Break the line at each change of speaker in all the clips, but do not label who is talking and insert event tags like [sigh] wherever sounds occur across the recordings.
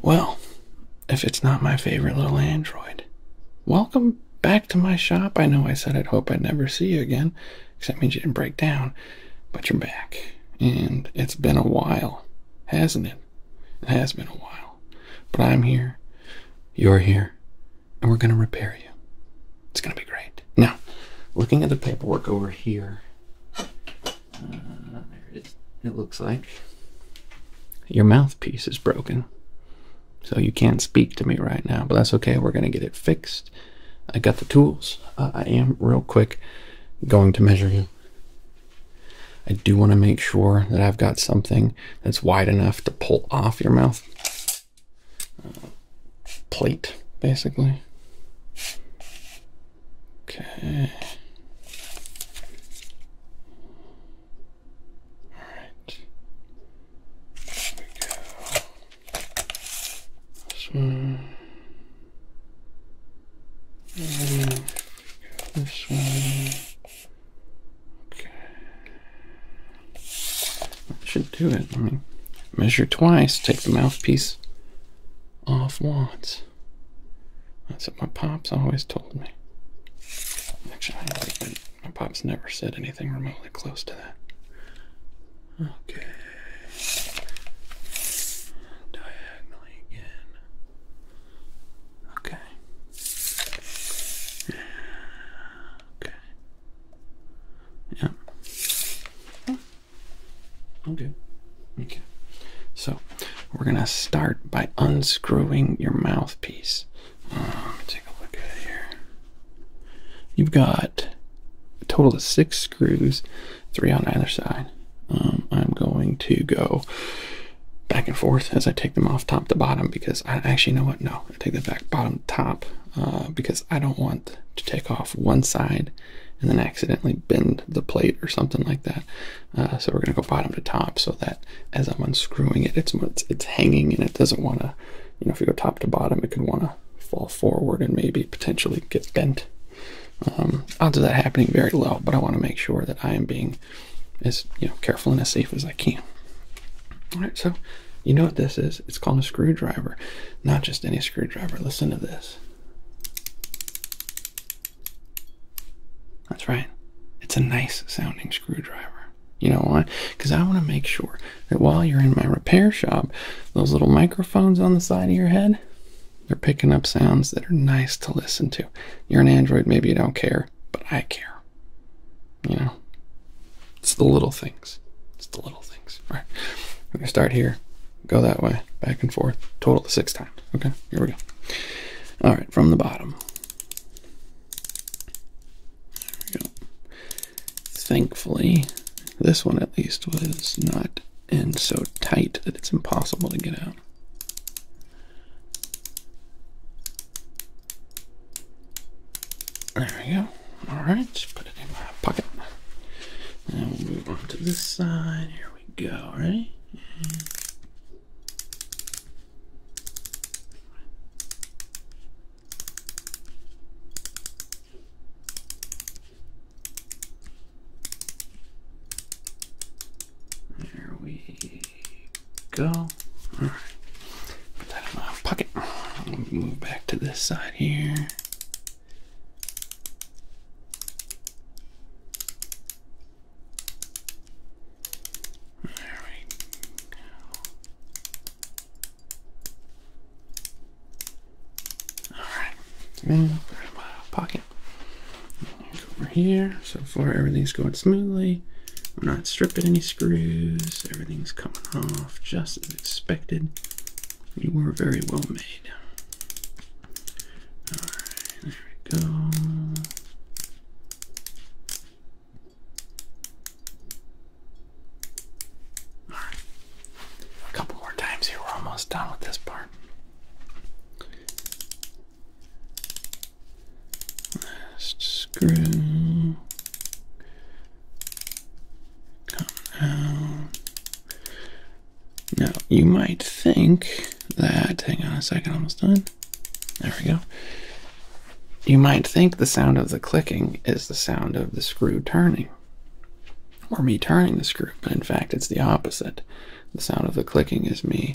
Well, if it's not my favorite little android, welcome back to my shop. I know I said I'd hope I'd never see you again, except means you didn't break down, but you're back. And it's been a while, hasn't it? It has been a while. But I'm here, you're here, and we're going to repair you. It's going to be great. Now, looking at the paperwork over here, uh, it looks like your mouthpiece is broken. So you can't speak to me right now, but that's okay. We're going to get it fixed. I got the tools. Uh, I am real quick going to measure you. I do want to make sure that I've got something that's wide enough to pull off your mouth. Uh, plate, basically. Okay. All right. There we go. This one. this one. Okay. should do it. measure twice. Take the mouthpiece off once. That's what my pops always told me. Actually, my pops never said anything remotely close to that. Okay. Diagonally again. Okay. Okay. Yeah. Okay. Okay. So we're going to start by unscrewing your mouthpiece. Uh, let me take a look at it here. You've got a total of six screws, three on either side. Um, I'm going to go back and forth as I take them off top to bottom because I actually know what? No, I take them back bottom to top uh, because I don't want to take off one side and then accidentally bend the plate or something like that. Uh, so we're going to go bottom to top so that as I'm unscrewing it, it's, it's, hanging and it doesn't want to, you know, if you go top to bottom, it could want to fall forward and maybe potentially get bent. Um, odds of that happening very low, but I want to make sure that I am being as you know careful and as safe as I can. All right, so you know what this is? It's called a screwdriver, not just any screwdriver. Listen to this. That's right. It's a nice sounding screwdriver. You know why? Because I want to make sure that while you're in my repair shop, those little microphones on the side of your head, they're picking up sounds that are nice to listen to. You're an Android, maybe you don't care, but I care. You know? It's the little things. It's the little things. All right. We're going to start here, go that way, back and forth, total six times. Okay, here we go. All right, from the bottom. Thankfully, this one at least was not in so tight that it's impossible to get out. There we go. Alright, put it in my pocket. and we'll move on to this side. Here we go, right? There we go. All right. Put that in my pocket. Move back to this side here. There Alright, now my pocket. Over here, so far everything's going smoothly. I'm not stripping any screws. Everything's coming off just as expected. You were very well made. Alright, there we go. Alright. A couple more times here. We're almost done with this part. Last screw. Come down. Now, you might think that, hang on a second, almost done. There we go. You might think the sound of the clicking is the sound of the screw turning or me turning the screw, but in fact, it's the opposite. The sound of the clicking is me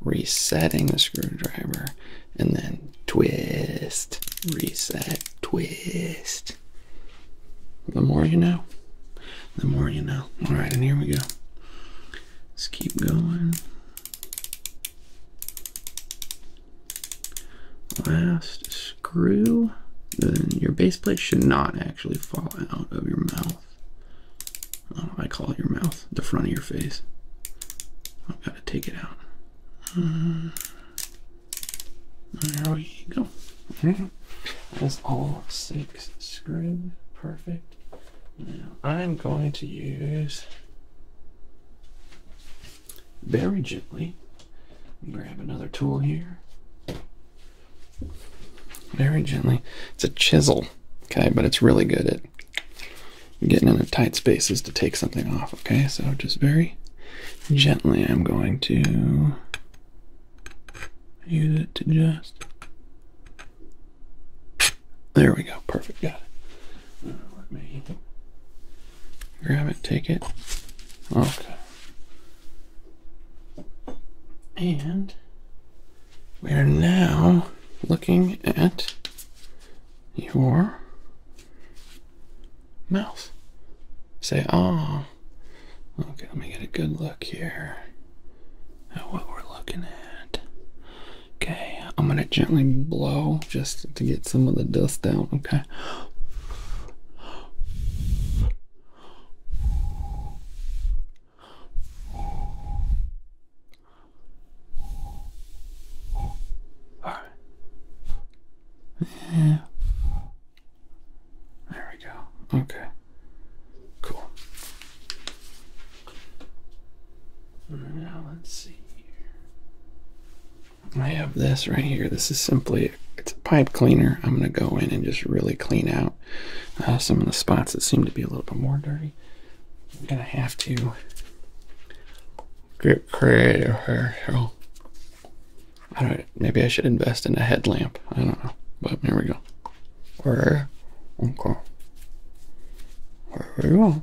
resetting the screwdriver and then twist, reset, twist. The more you know, the more you know. All right, and here we go. Let's keep going. Last screw. Then your base plate should not actually fall out of your mouth. I call it your mouth, the front of your face. I've got to take it out. Hmm. there we go. Okay. [laughs] That's all six screws. Perfect. Now I'm going to use very gently. Grab another tool here. Very gently. It's a chisel, okay, but it's really good at getting into tight spaces to take something off, okay? So just very gently I'm going to use it to just there we go. Perfect. Got grab it, take it. Okay. And we are now looking at your mouth. Say, ah. Okay, let me get a good look here at what we're looking at. Okay, I'm gonna gently blow just to get some of the dust out. Okay. All right. Yeah. There we go. Okay. Cool. Now let's see I have this right here. This is simply it's a pipe cleaner. I'm going to go in and just really clean out uh, some of the spots that seem to be a little bit more dirty. I'm going to have to get creative here. So I maybe I should invest in a headlamp. I don't know. But here we go. Where? Okay. There we go.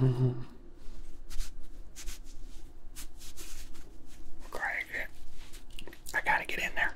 Mm-hmm. Craig, I gotta get in there.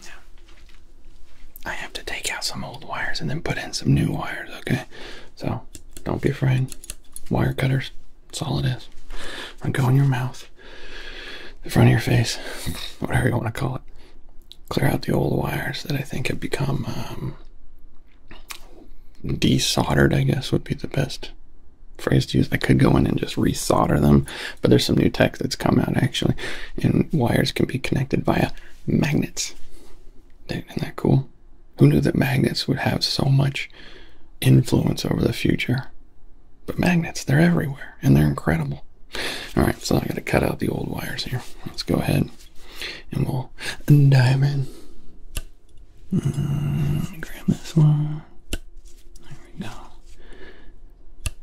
Yeah. I have to take out some old wires and then put in some new wires, okay? So don't be afraid. Wire cutters, that's all it is. It'll go in your mouth, the front of your face, [laughs] whatever you want to call it. Clear out the old wires that I think have become um, desoldered, I guess would be the best phrase to use. I could go in and just resolder them, but there's some new tech that's come out actually, and wires can be connected via magnets. Isn't that cool? Who knew that magnets would have so much influence over the future? But magnets, they're everywhere and they're incredible. All right, so I gotta cut out the old wires here. Let's go ahead and we'll dive in. Mm, grab this one. There we go.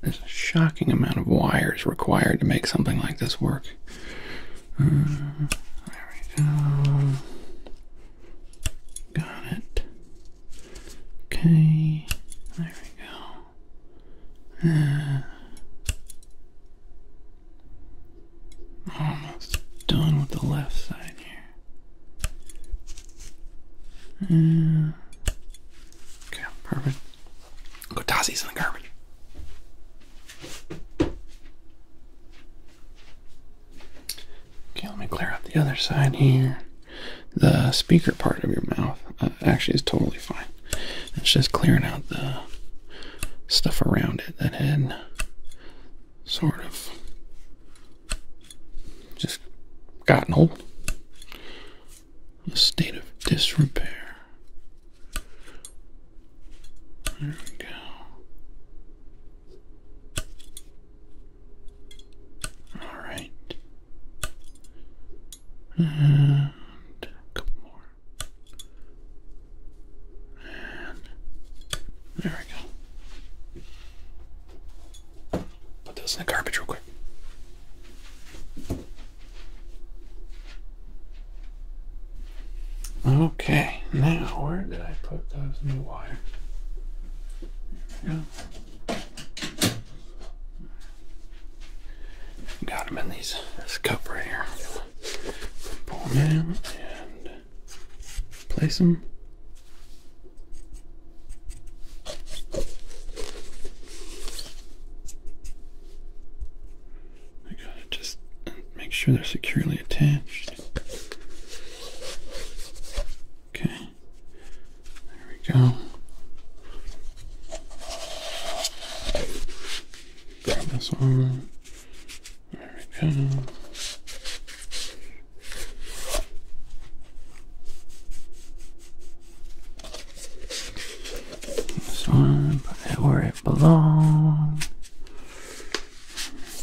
There's a shocking amount of wires required to make something like this work. Uh, there we go. Got it. Okay. There we go. Uh, almost done with the left side here. Uh, okay, perfect. Go toss these in the garbage. Okay, let me clear out the other side here. The speaker part of your mouth uh, actually is totally fine. It's just clearing out the stuff around it that had sort of just gotten old a state of disrepair. There we go. All right. And a couple more. And there we go. Put those in the garbage real quick. Okay, now where did I put those new wires? Here we go. Got them in these this cup right here. Pull them out and place them. I gotta just make sure they're securely attached. Okay, there we go. Grab this arm. There we go. This one, put it where it belongs.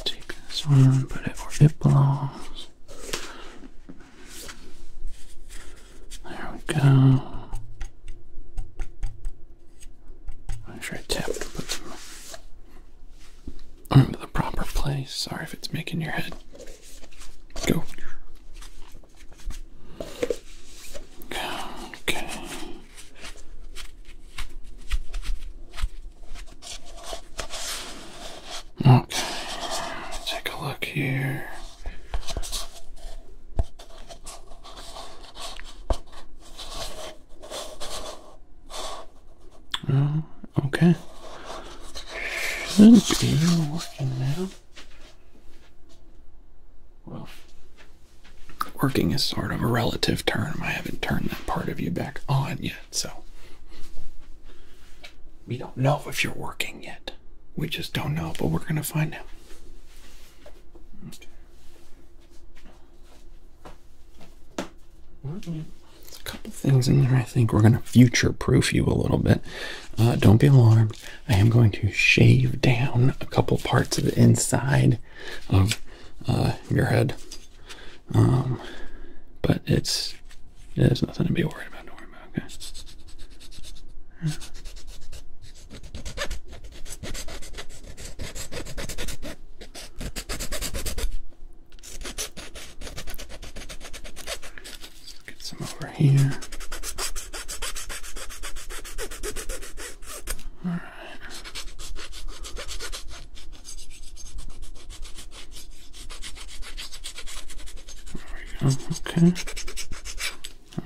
Take this one, put it where it belongs. There we go. Make sure I tap to put them into the proper place. Sorry if it's making your head go. Okay. Okay. Take a look here. Uh, okay. Should be working now. Well, working is sort of a relative term. I haven't turned that part of you back on yet, so we don't know if you're working yet. We just don't know, but we're going to find out. There's a couple things in there I think we're going to future proof you a little bit. Uh, don't be alarmed. I am going to shave down a couple parts of the inside of uh, your head. Um, but it's there's nothing to be worried about here. Okay.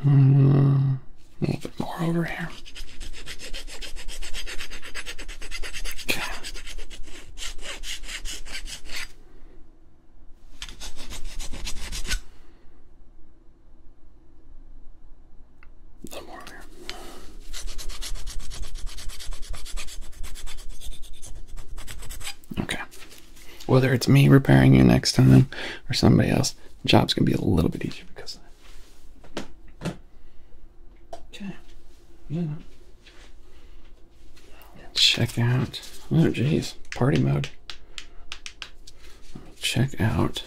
Uh, a little bit more over here. Okay. Okay. Whether it's me repairing you next time or somebody else, the job's gonna be a little bit easier because Okay. Yeah. Check out. Oh, jeez. Party mode. Check out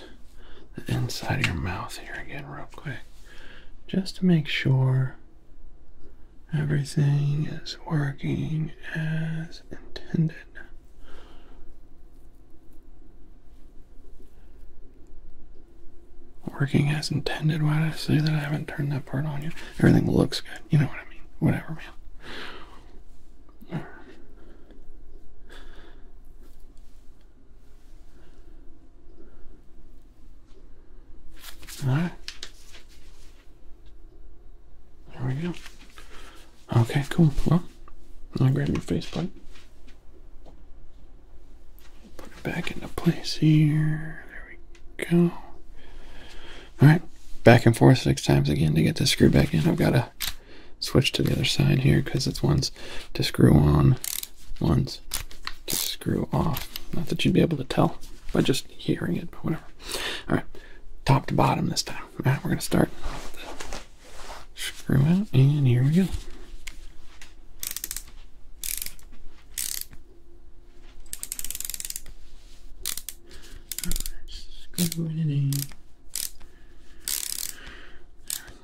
the inside of your mouth here again, real quick, just to make sure everything is working as intended. Working as intended. Why did I say that I haven't turned that part on yet? Everything looks good. You know what I mean. Whatever, man. Alright. There we go. Okay, cool. Well, i grab your face plate. Put it back into place here. There we go. Alright, back and forth six times again to get this screw back in. I've got a switch to the other side here because it's one's to screw on, one's to screw off. Not that you'd be able to tell by just hearing it, but whatever. All right, top to bottom this time. we right, we're gonna start screwing, the screw and here we go.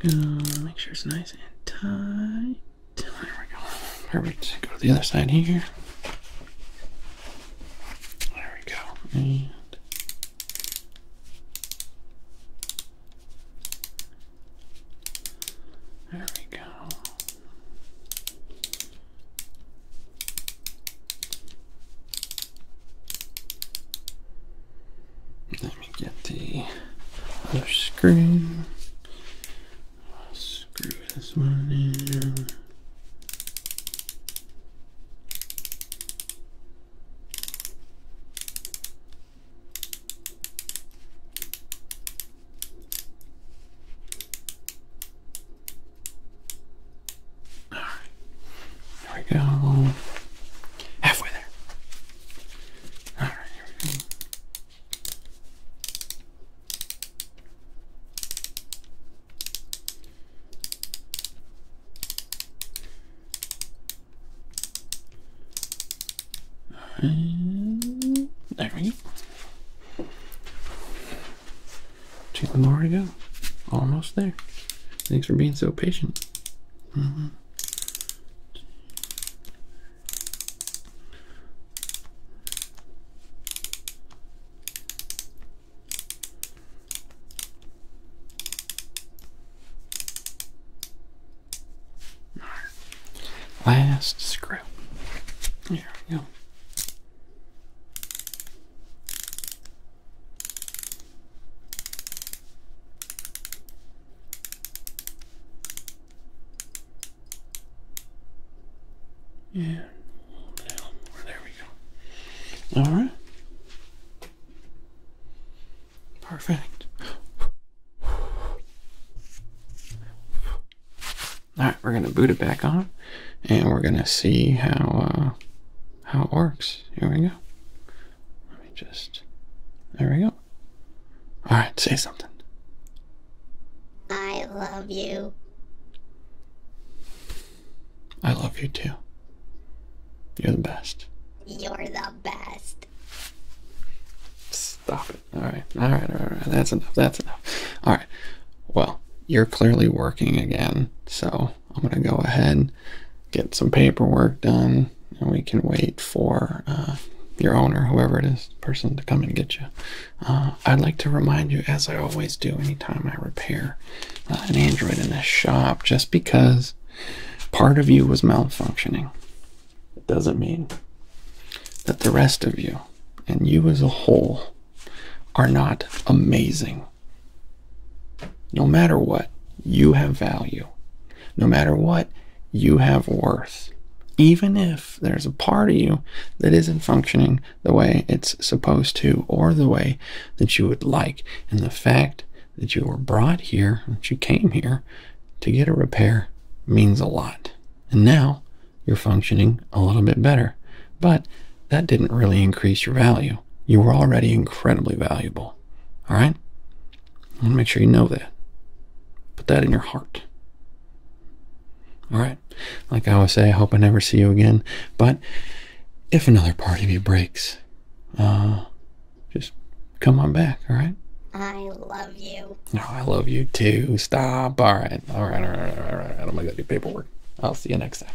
Go make sure it's nice and tight. There we go. Perfect. Go to the other side here. There we go. there we go. Let me get the other screen. screw this one in. All right. There we go. Halfway there. All right, here we go. And there we go. Two more to go. Almost there. Thanks for being so patient. Mm-hmm. Last screw. Here we go. Yeah, There we go. All right. Perfect. All right, we're gonna boot it back on, and we're gonna see how uh, how it works. Here we go. Let me just. There we go. All right, say something. I love you. I love you too. You're the best. You're the best. Stop it. All right. All right. All right. That's enough. That's enough. All right. Well, you're clearly working again, so I'm going to go ahead get some paperwork done, and we can wait for uh, your owner, whoever it is, person to come and get you. Uh, I'd like to remind you, as I always do, anytime I repair uh, an Android in this shop, just because part of you was malfunctioning, it doesn't mean that the rest of you and you as a whole are not amazing. No matter what, you have value. No matter what, you have worth. Even if there's a part of you that isn't functioning the way it's supposed to or the way that you would like. And the fact that you were brought here, that you came here to get a repair means a lot. And now you're functioning a little bit better. But that didn't really increase your value. You were already incredibly valuable. All right? I want to make sure you know that. Put that in your heart. All right? Like I always say, I hope I never see you again. But if another part of you breaks, uh, just come on back, all right? I love you. No, oh, I love you too. Stop. All right. All right. All right. All right. All right. I'm going to go do paperwork. I'll see you next time.